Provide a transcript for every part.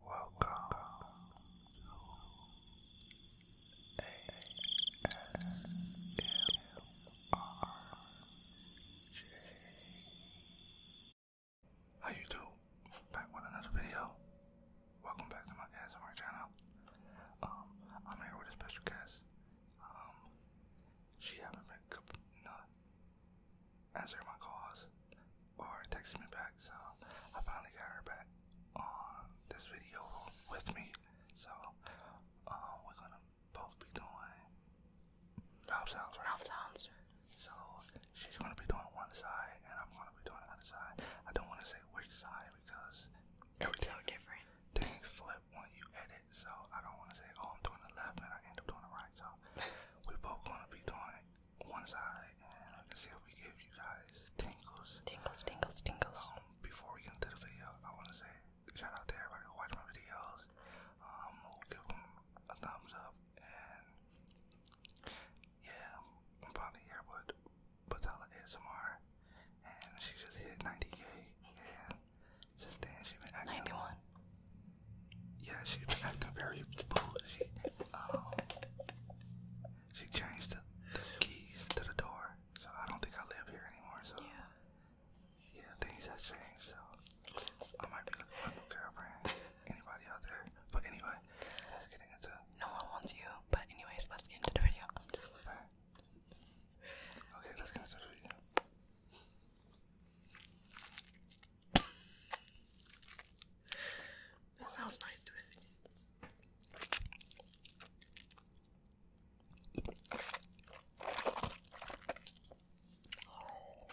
Welcome to How you do? Back with another video. Welcome back to my ASMR channel. Um, I'm here with a special guest. Um, she haven't been, no, answering my calls or texting me back. So I finally got her back on this video with me. So uh, we're gonna both be doing Ralph sounds. Ralph sounds. So she's gonna be doing one side and I'm gonna be doing the other side. I don't want to say which side because it's so different. Things flip when you edit, so I don't want to say oh I'm doing the left and I end up doing the right. So we both gonna be doing one side, and I can see if we give you guys tingles. Tingles, tingles, tingles. Um, before we get into the video, I want to say shout out to everybody who watches my videos. Um, give them a thumbs up, and yeah, I'm probably here with Patella ASMR, and she just hit 90k, and since then she been 91. Yeah, she acting very bougie. Um, she changed the, keys to the door, so I don't think I live here anymore. So yeah, things have changed. So I might be looking for a new girlfriend. Anybody out there? But anyway, let's get into. No one wants you. But anyways, let's get into the video. okay, let's get into the video that sounds nice to me. Oh,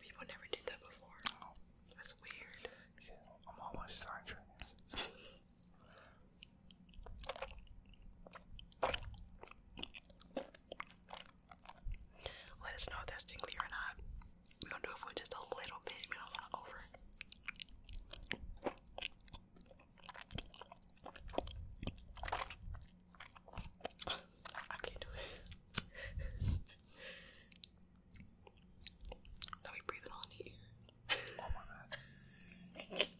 people never did that before. That's weird. I'm almost Star Trek. Let us know if that's tingly or not. We're gonna do it for just a little bit. We don't want to over. I can't do it. Let me breathe it on here.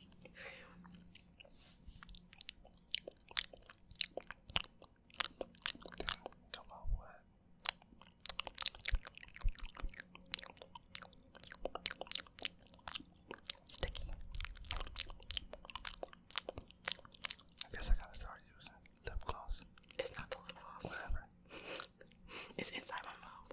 Sticky. I guess I gotta start using lip gloss. It's not the lip gloss. Whatever. it's inside my mouth.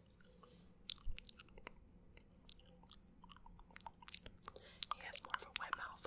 He has more of a wet mouth.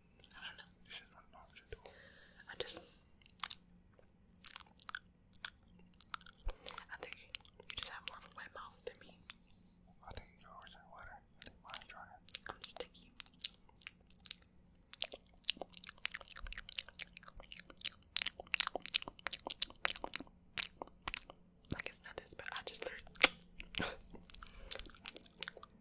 I don't know. I just. I think you just have more of a mouth than me. I think yours are wetter. I think mine's drier. I'm sticky. Like it's not this, but I just learned.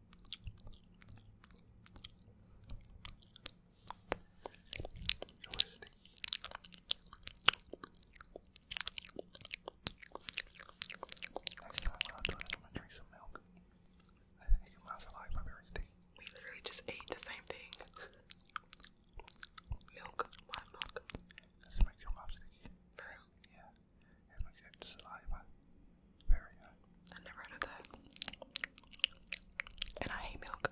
That's not what I'm doing. i drink some milk. I think you might like my berry tea. We literally just ate the same thing. milk, black milk. This makes your mouth Yeah. It makes it saliva. Very high. I never heard that. And I hate milk.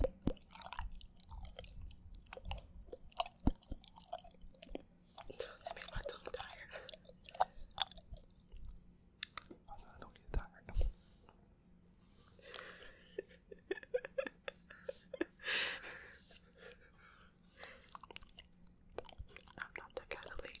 That made my tired. Oh no, I don't get tired. I'm not that kind of lady.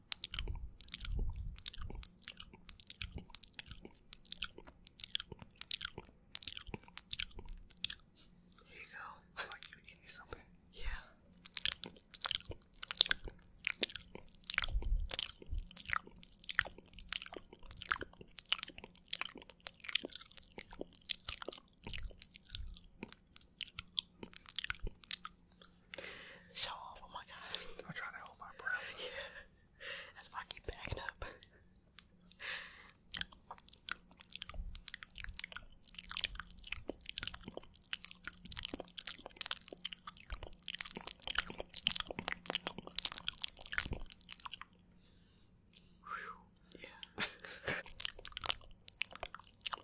Here you go. I like you eating something. Yeah. Show off, oh my god. I'm trying to hold my breath. Yeah. That's why I keep backing up. Yeah.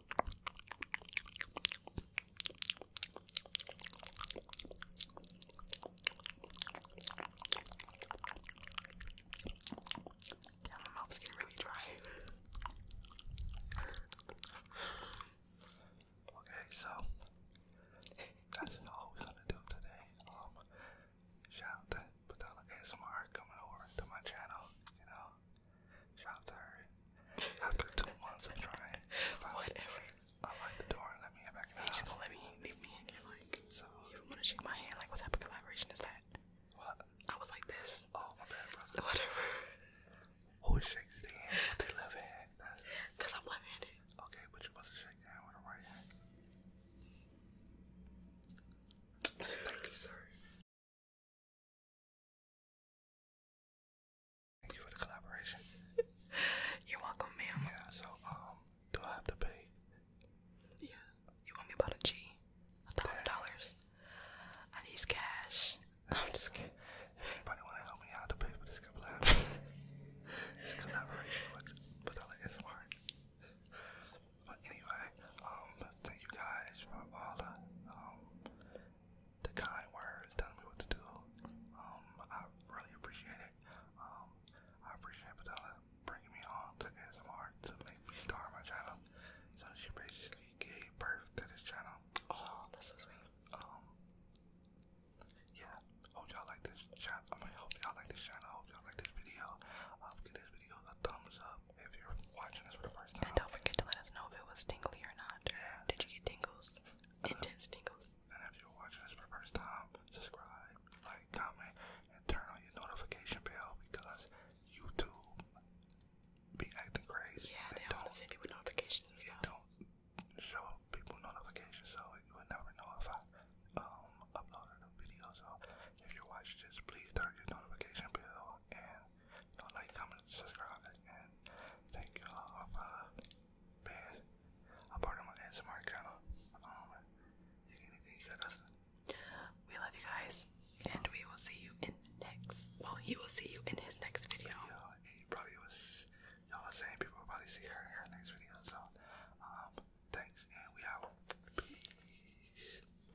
Yeah, my mouth's getting really dry. okay, so that's all we're gonna do today. Um, shout out to Patella ASMR coming over to my channel, you know. After two months of trying, finally, whatever. Unlock the door and let me in back in the He's just house. going let me leave me in here, like. you do wanna shake my hand? Like, what type of collaboration is that? I was like this. Oh my bad, Whatever. Who shakes the hand with their left hand? Cause I'm left-handed. Okay, but you're supposed to shake the hand with the right hand. Thank you, sir. Thank you for the collaboration. are welcome, ma'am. Yeah, so, um, do I have to pay? Yeah. You owe me about a G. A thousand dollars. I need cash. I'm just kidding. Anybody want to help me out to pay for this collaboration? this collaboration with Vanilla is smart. But anyway, um, thank you guys for all the um the kind words telling me what to do. Um, I really appreciate it. Um, I appreciate Patella bringing me on to ASMR to make me start my channel. So she basically gave birth to this channel. Oh, that's so sweet. Um, yeah. Hope y'all like this channel. I hope y'all like this channel. Hope y'all like this video. Um, give this video a thumbs up if you And don't forget to let us know if it was tingly or not. Did you get tingles? Intense tingles. And if you're watching this for the first time, subscribe, like, comment, and turn on your notification bell because YouTube be acting crazy. Yeah, don't send people notifications. And don't show people notifications, so you will never know if I um uploaded a video. So if you watch this, please turn your notification bell and Y'all like, comment, subscribe, and thank you all for being a part of my ASMR channel. Um, we love you guys, and we will see you in next. Well, he will see you in his next video. Yeah, and you probably was y'all are saying people will probably see her in her next video. So, um, thanks, and we out. Peace.